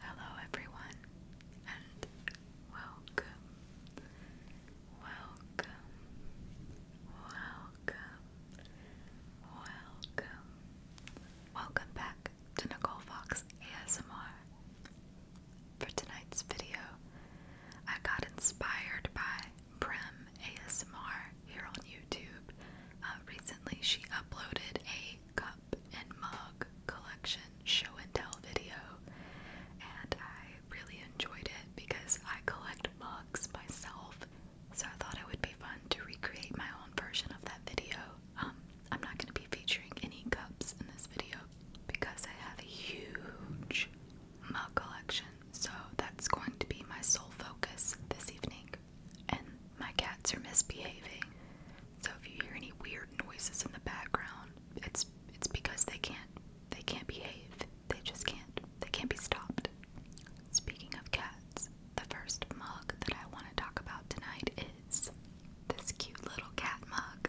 Hello, everyone, and welcome, welcome, welcome, welcome, welcome back to Nicole Fox ASMR. For tonight's video, I got inspired by Prem ASMR here on YouTube. Uh, recently, she uploaded a cup and mug collection show and tell video, and I really enjoyed it because I collect mugs myself. So I thought it would be fun to recreate my own version of that video. Um, I'm not going to be featuring any cups in this video because I have a huge mug collection, so that's going to be my sole focus this evening. And my cats are misbehaving, so if you hear any weird noises in the background, it's it's because they can't they can't behave. They just can't. They can't be stopped. Speaking of cats, the first mug that I want to talk about tonight is this cute little cat mug.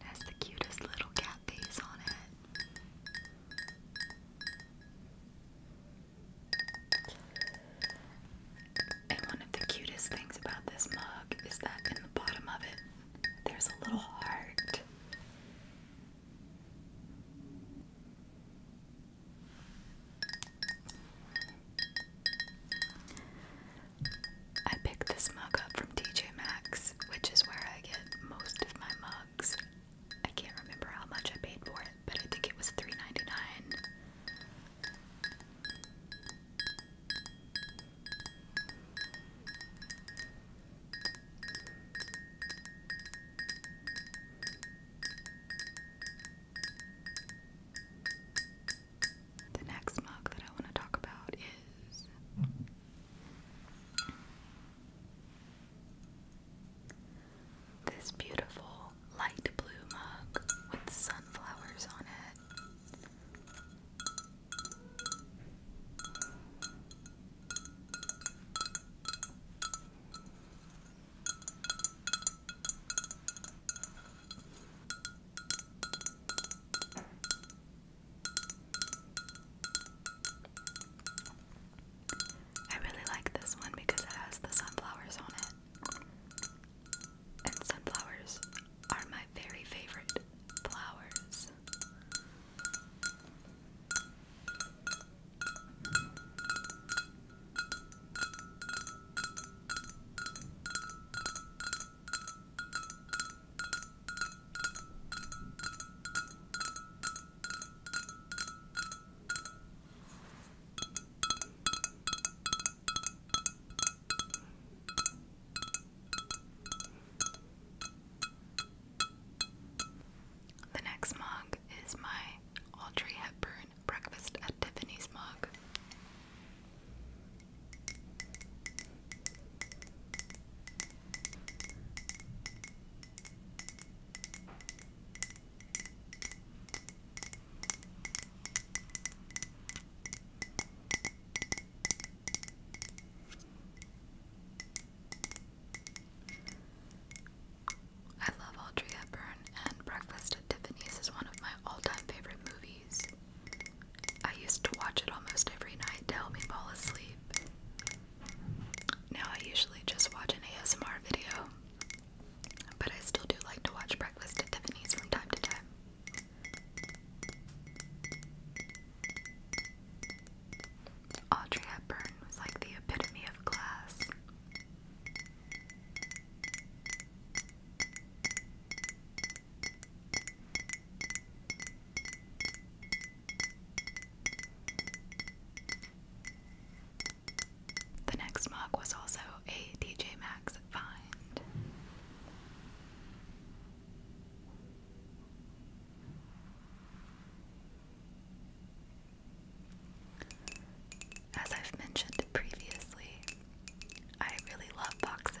That's the cutest little cat face on it. And one of the cutest things about this mug is that in the bottom of it there's a little heart. I picked this mug up from TJ Maxx, which is where I get most of my mugs. I can't remember how much I paid for it, but I think it was 3 the next mug that I want to talk about is this beautiful light blue mug with sunflowers on it. I really like this one because it has the sunflowers on it. And sunflowers are my very favorite flowers. The next mug is my Audrey Hepburn Breakfast at Tiffany's mug. I love Audrey Hepburn, and Breakfast at Tiffany's is one of my all time favorite movies. I used to watch it almost every night to help me fall asleep. Now I usually just watch an ASMR video, but I still do like to watch Breakfast at Tiffany's from time to time. Audrey Hepburn was like the epitome of class. The next mug was also a DJ Maxx find. As I've mentioned previously, I really love boxes.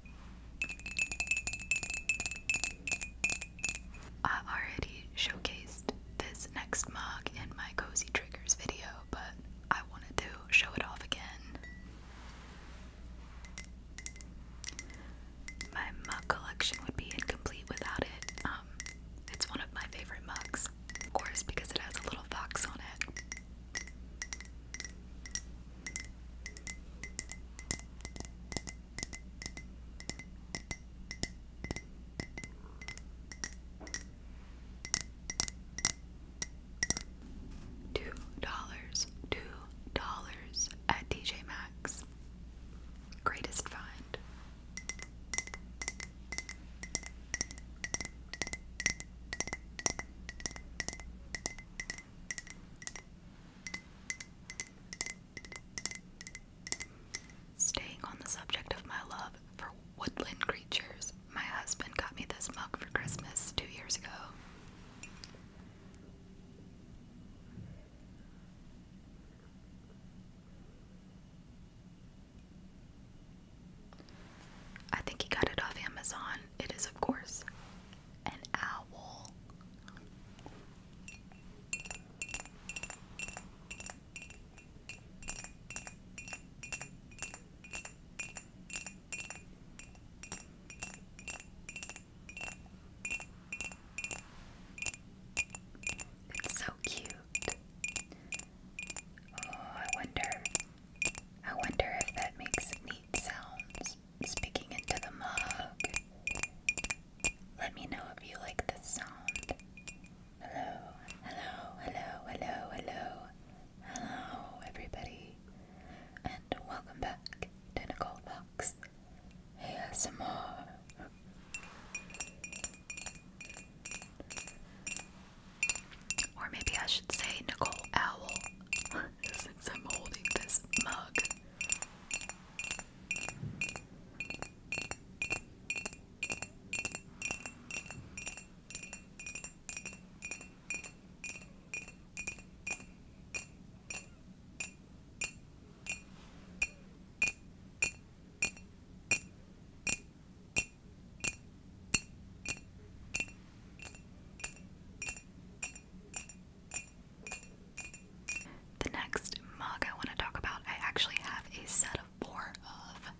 I already showcased this next mug in my Cozy Triggers video, but I wanted to show it off again. My mug collection would be incomplete without it. Um, it's one of my favorite mugs, of course, because it has a little fox on it. Two dollars, two dollars at TJ Maxx. Greatest find. Staying on the subject of my love for woodland creatures, my husband got me this mug for Christmas two years ago. I think he got it off Amazon. It is, of course, an owl. It's so cute. Oh, I wonder. I wonder if that makes neat sounds speaking into the mug. Let me know if you like this sound. Hello, hello, hello, hello, hello, hello, everybody, and welcome back to Nicole Fox ASMR. Or maybe I should say Nicole Owl. since I'm holding this mug. The next mug I want to talk about, I actually have a set of four of.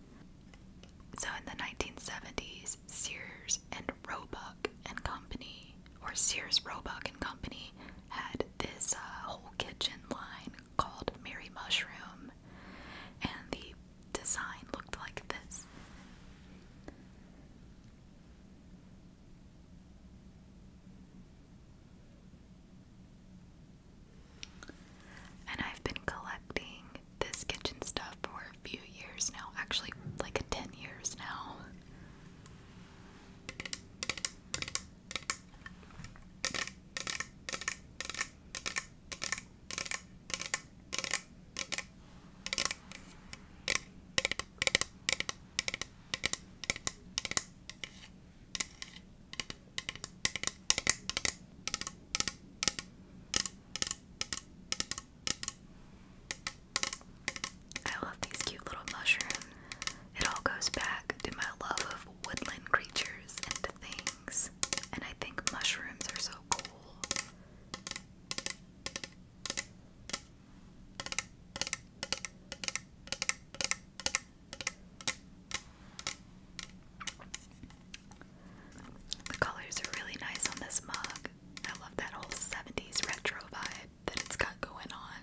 So in the 1970s, Sears and Roebuck and Company, or Sears Roebuck and Company, had this uh, whole kitchen line called Mary Mushroom, and the design looked like this. And I've been collecting this kitchen stuff for a few years now, actually, like 10 years now. I love these cute little mushrooms. It all goes back to my love of woodland creatures and things, and I think mushrooms are so cool. The colors are really nice on this mug. I love that whole 70s retro vibe that it's got going on.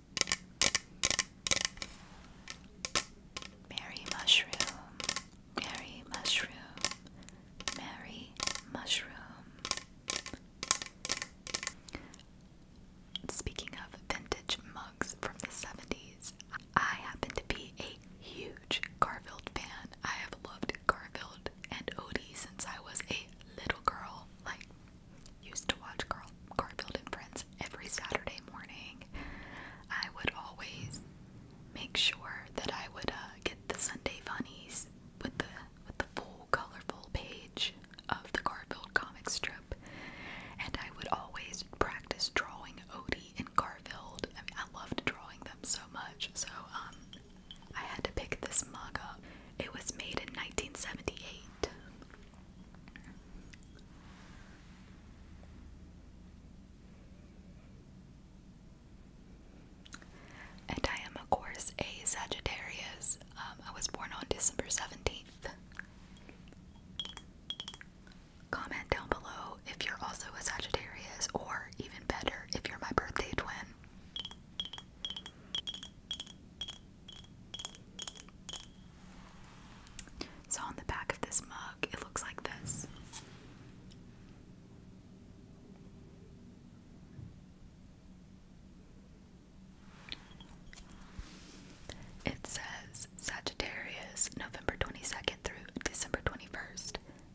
Mary mushroom, Mary mushroom, Mary mushroom. Speaking of vintage mugs from the 70s, I happen to be a huge Garfield fan. I have loved Garfield and Odie since I was a little girl, like used to watch Gar Garfield and Friends every Saturday morning. I would always make sure that I would uh, get the Sunday funnies with the with the full colorful page of the Garfield comic strip, and I would always practice drawing Odie and Garfield. I I loved drawing them so much. So um, I had to pick this mug up. It was made in 1978, and I am, of course, a Sagittarius. Um, I was born on December 17th. Comment down below if you're also a Sagittarius, or even better, if you're my birthday twin. So, on the back of this mug, it looks like this. It says Sagittarius, November 22nd through December 21st.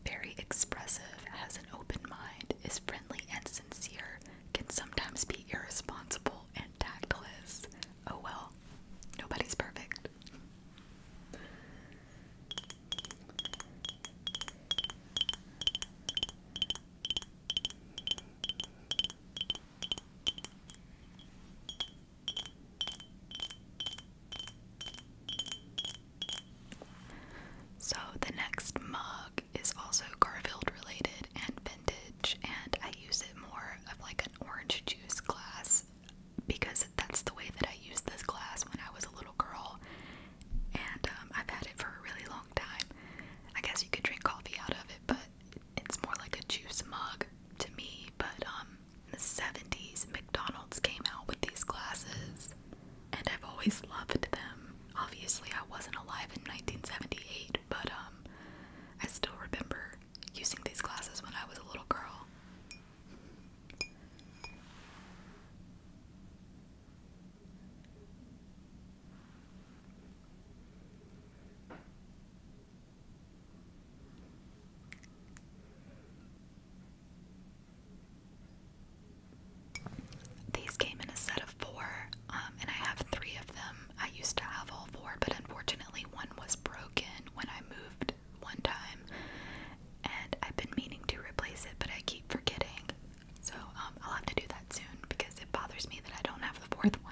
Very expressive, has an open mind, is friendly and sincere, can sometimes be irresponsible and tactless. Oh well, nobody's perfect. So, the next mug is also Garfield related and vintage, and I use it more of like an orange juice glass because that's the way that I used this glass when I was a little girl, and um, I've had it for a really long time. I guess you could drink coffee out of it, but it's more like a juice mug to me. But um, in the 70s, McDonald's came out with these glasses and I've always loved them. Obviously, I wasn't alive in 1978, but um, I still remember using these glasses when I was a little girl. These came in a set of four, um, and I have three of them. I used to have all four, but unfortunately, one was broken when I moved one time, and I've been meaning to replace it, but I keep forgetting. So um, I'll have to do that soon because it bothers me that I don't have the fourth one.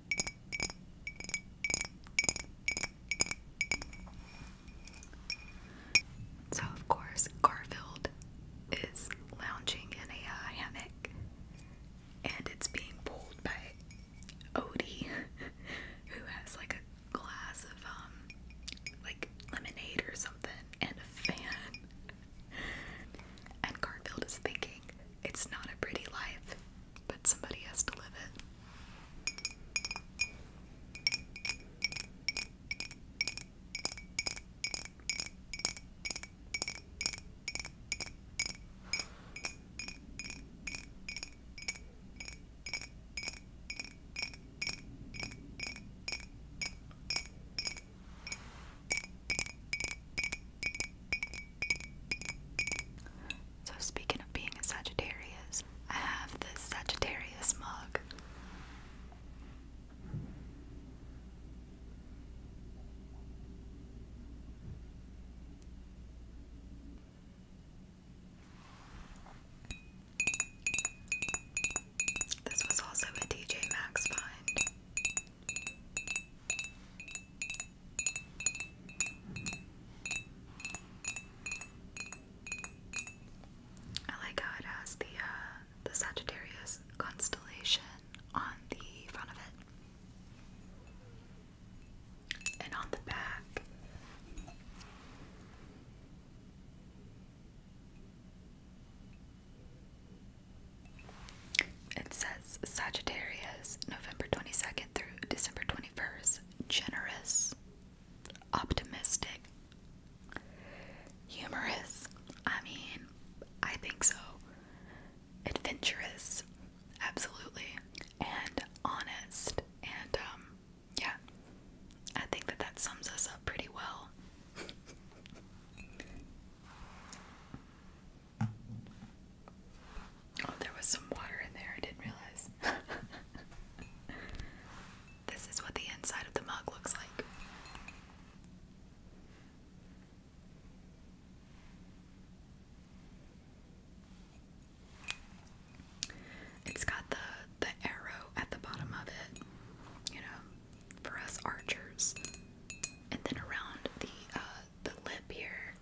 So, of course, Garfield is lounging in a uh, hammock and it's being pulled by Odie, who has like a glass of, um, like lemonade or something, and a fan. And Garfield is thinking, it's not a pretty life but somebody has to live it. So, speaking of being a Sagittarius, I have this Sagittarius mug. This was also a DJ Maxx find. I like how it has the uh, the Sagittarius constellation on the front of it, and on the back. It says Sagittarius, November 22nd through December 21st, generous, optimistic, humorous. I mean, I think so. Adventurous, absolutely, and honest. And, um, yeah, I think that that sums us up pretty well. Oh, there was some water in there, I didn't realize. this is what the inside of the mug looks like. It's got the the arrow at the bottom of it, you know, for us archers. And then around the uh, the lip here,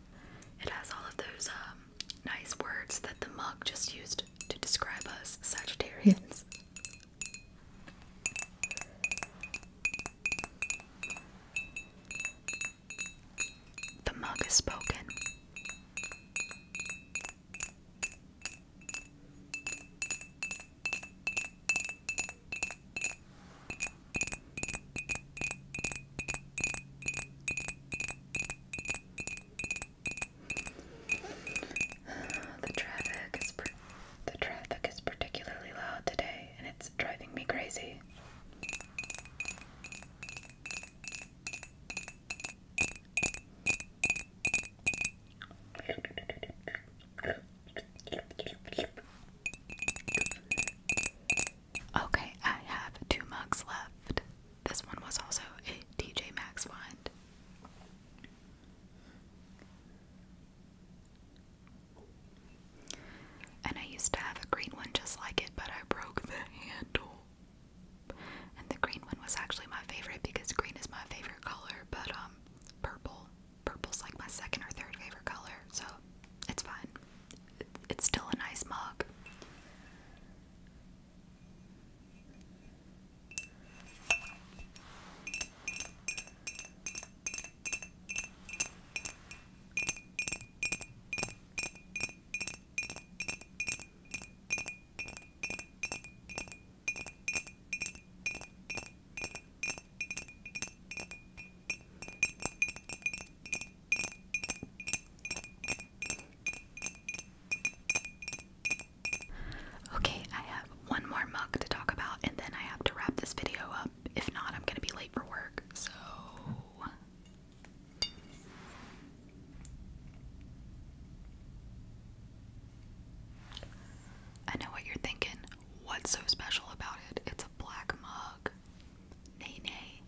it has all of those um, nice words that the mug just used to describe us Sagittarians. The mug is spoken. The traffic is the traffic is particularly loud today and it's driving me crazy. Okay, I have two mugs left. This one was also a DJ Max find. And I used to have a green one just like it, but I broke the handle. And the green one was actually my favorite because green is my favorite color, but um purple purple's like my second or third favorite color, so it's fine. It's still a nice mug. Okay, I have one more mug to talk about, and then I have to wrap this video up. If not, I'm gonna be late for work, so. I know what you're thinking. What's so special about it? It's a black mug. Nay, nay.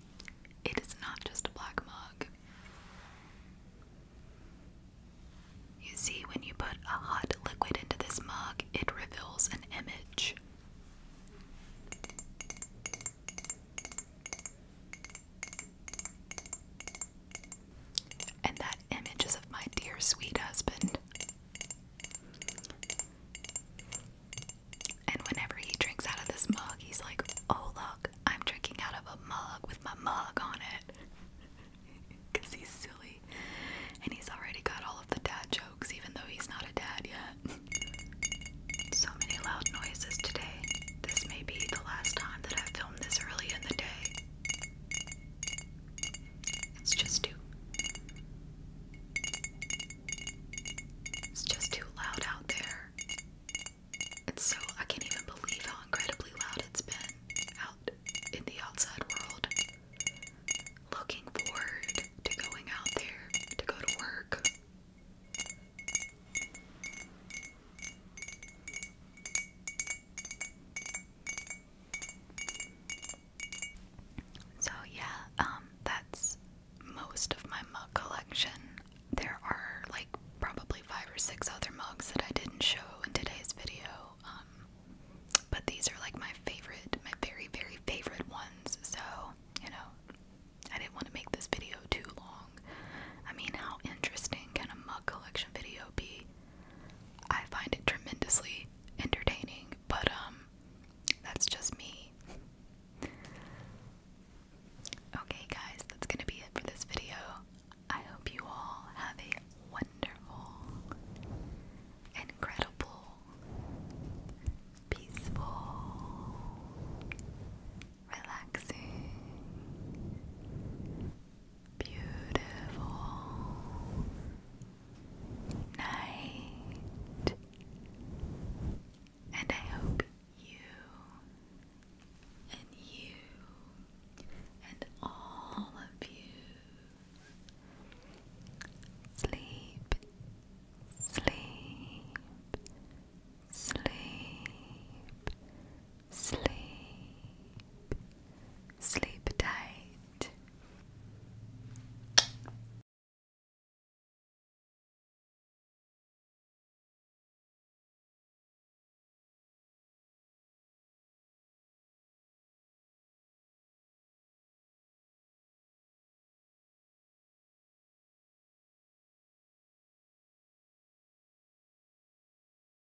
It is not just a black mug. You see, when you put a hot liquid into this mug, it reveals an image. And that image is of my dear sweet husband. And whenever he drinks out of this mug, he's like, oh, look, I'm drinking out of a mug with my mug on it. Because he's silly. And he's already got all of the dad jokes, even though he's not a dad yet. so many loud noises today. This may be the last time that I filmed this early in the day. It's just too. It's just too loud out there. It's so I can't even believe how incredibly loud it's been out in the outside world. Looking forward to going out there to go to work. So yeah, um, that's most of my mug collection. There are like probably five or six other mugs that I didn't show in today's video. Um, but these are like my favorite, my very, very favorite ones. So, you know, I didn't want to make this video too long. I mean, how interesting can a mug collection video be? I find it tremendously entertaining, but um that's just me. Okay guys, that's going to be it for this video. I hope you all have a wonderful, incredible, peaceful, relaxing beautiful night, and I hope you and you and all of you sleep, sleep, sleep sleep, sleep tight.